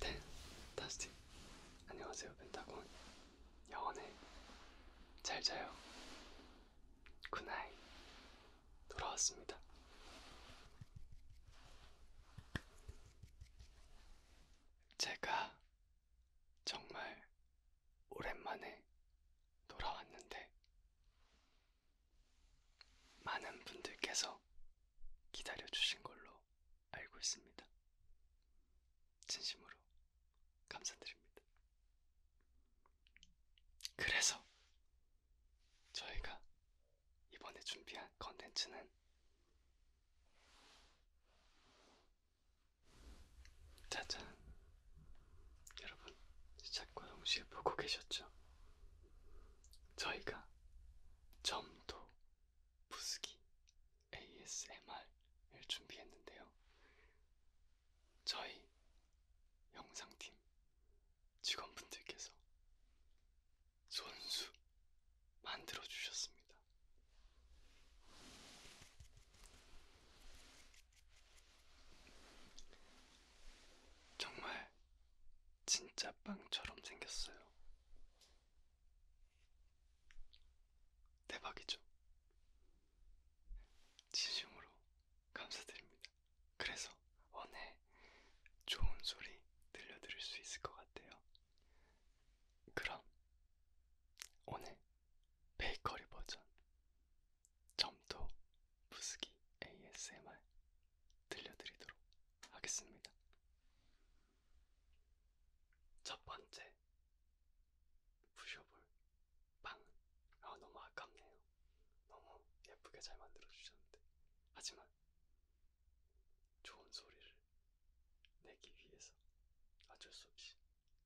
네, 다시 안녕하세요 펜타곤 영원해 잘 자요 굿나잇 돌아왔습니다 제가 정말 오랜만에 돌아왔는데 많은 분들께서 기다려주신 걸로 알고 있습니다. 진심으로 감사드립니다. 그래서 저희가 이번에 준비한 컨텐츠는 짜잔. 여러분, 시작과 동시에 보고 계셨죠? 저희가 점도 부수기 ASMR을 준비했는데요. 저희 영상팀 직원분들께서 손수 만들어 주셨습니다. 정말 진짜 빵처럼 생겼어요. 대박이죠? 진심으로 감사드립니다. 그래서 오늘 좋은 소리 들려드릴 수 있을 것 같아요. 그럼 오늘 베이커리 버전 점토 부스기 ASMR 들려드리도록 하겠습니다. 첫 번째 부셔볼 빵은 아 너무 아깝네요. 너무 예쁘게 잘 만들어 주셨는데 하지만 좋은 소리를 내기 위해서 어쩔 수 없이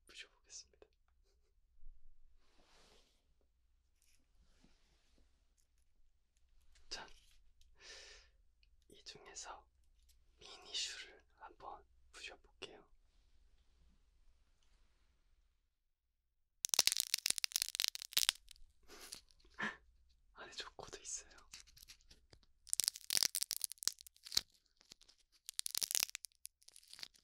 부셔보겠습니다. 자, 이 중에서 미니슈를 한번 부셔볼게요. 안에 조코도 있어요.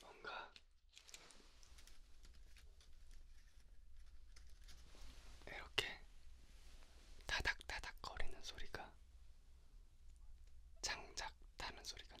뭔가 이렇게 타닥타닥 거리는 소리가 장작 타는 소리 같네요.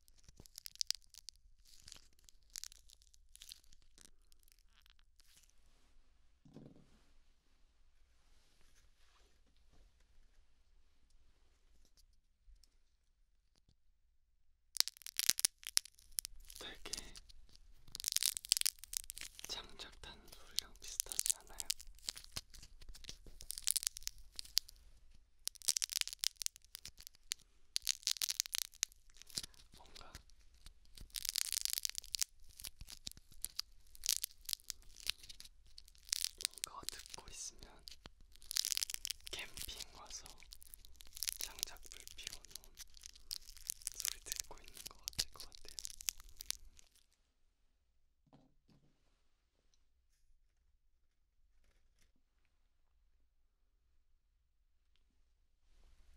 되게 장작 타는 소리랑 비슷하지 않아요? 뭔가 이거 듣고 있으면 캠핑 와서 장작불 피워놓은 소리 듣고 있는 것 같을 것 같아요.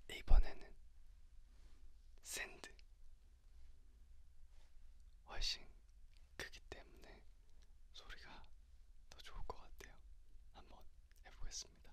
이번에는 샌드 훨씬 크기 때문에 소리가 더 좋을 것 같아요. 한번 해보겠습니다.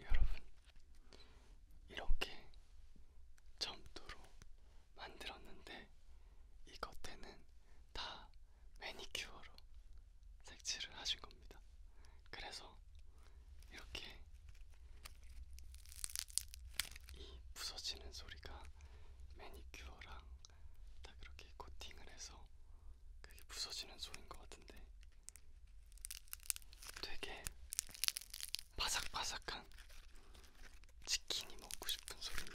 여러분, 이렇게 점토로 만들었는데 이 겉에는 다 매니큐어로 색칠을 하신 겁니다. 그래서 이렇게 이 부서지는 소리가 매니큐어랑 다 그렇게 코팅을 해서 그게 부서지는 소리인 것 같은데 되게 바삭바삭한 치킨이 먹고 싶은 소리네.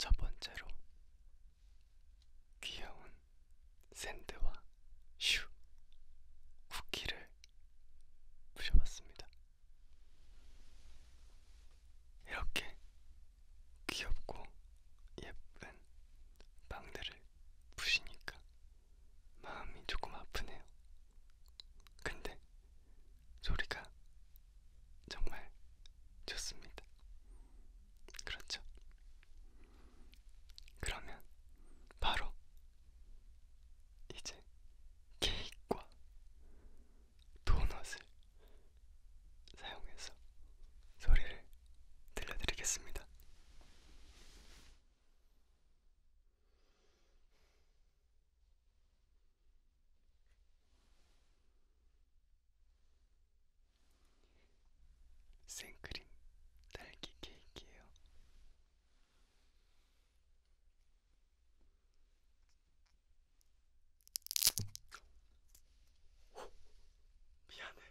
첫 번째로 귀여운 샌드와 슈 쿠키를 부셔봤습니다. 이렇게 귀엽고 예쁜 빵들을 부시니까 마음이 조금 아프네요. 근데 소리가 정말 좋습니다. 그렇죠? 그러면 바로 이제 케이크와 도넛을 사용해서 소리를 들려드리겠습니다. 생크림 딸기 케이크예요. 미안해.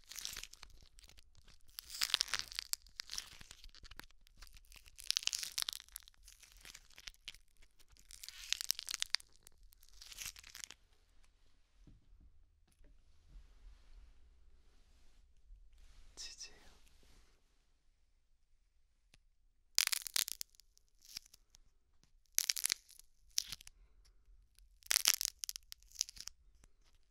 치즈예요.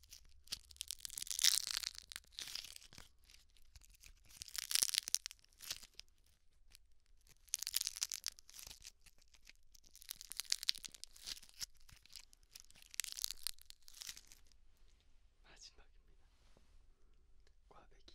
마지막입니다. 꽈배기.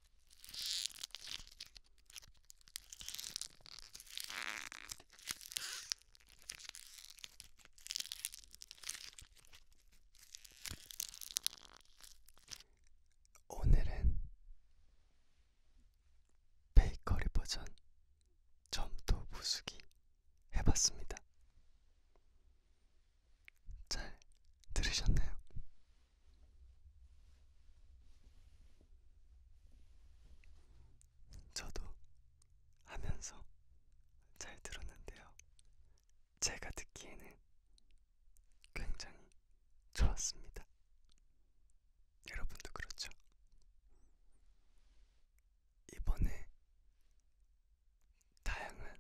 오늘은 베이커리 버전 점토 부수기 해봤습니다. 잘 들으셨나요? 저도 하면서 잘 들었는데요. 제가 듣기에는 굉장히 좋았습니다. 여러분도 그렇죠? 이번에 다양한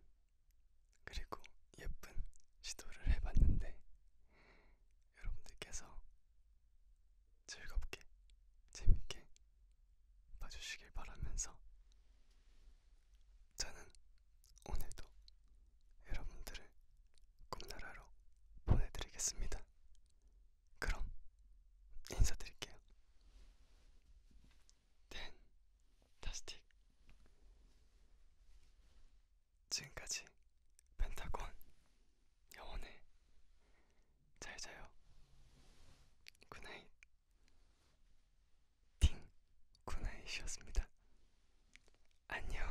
그리고 예쁜 시도를 해봤는데 여러분들께서 즐겁게 재밌게 봐주시길 바라면서 저는 오늘도 여러분들을 꿈나라로 보내드리겠습니다. 그럼 인사드릴게요. 댄, 타스틱. 지금까지 펜타곤 영원해 잘 자요 굿나잇 팅 굿나잇이었습니다 안녕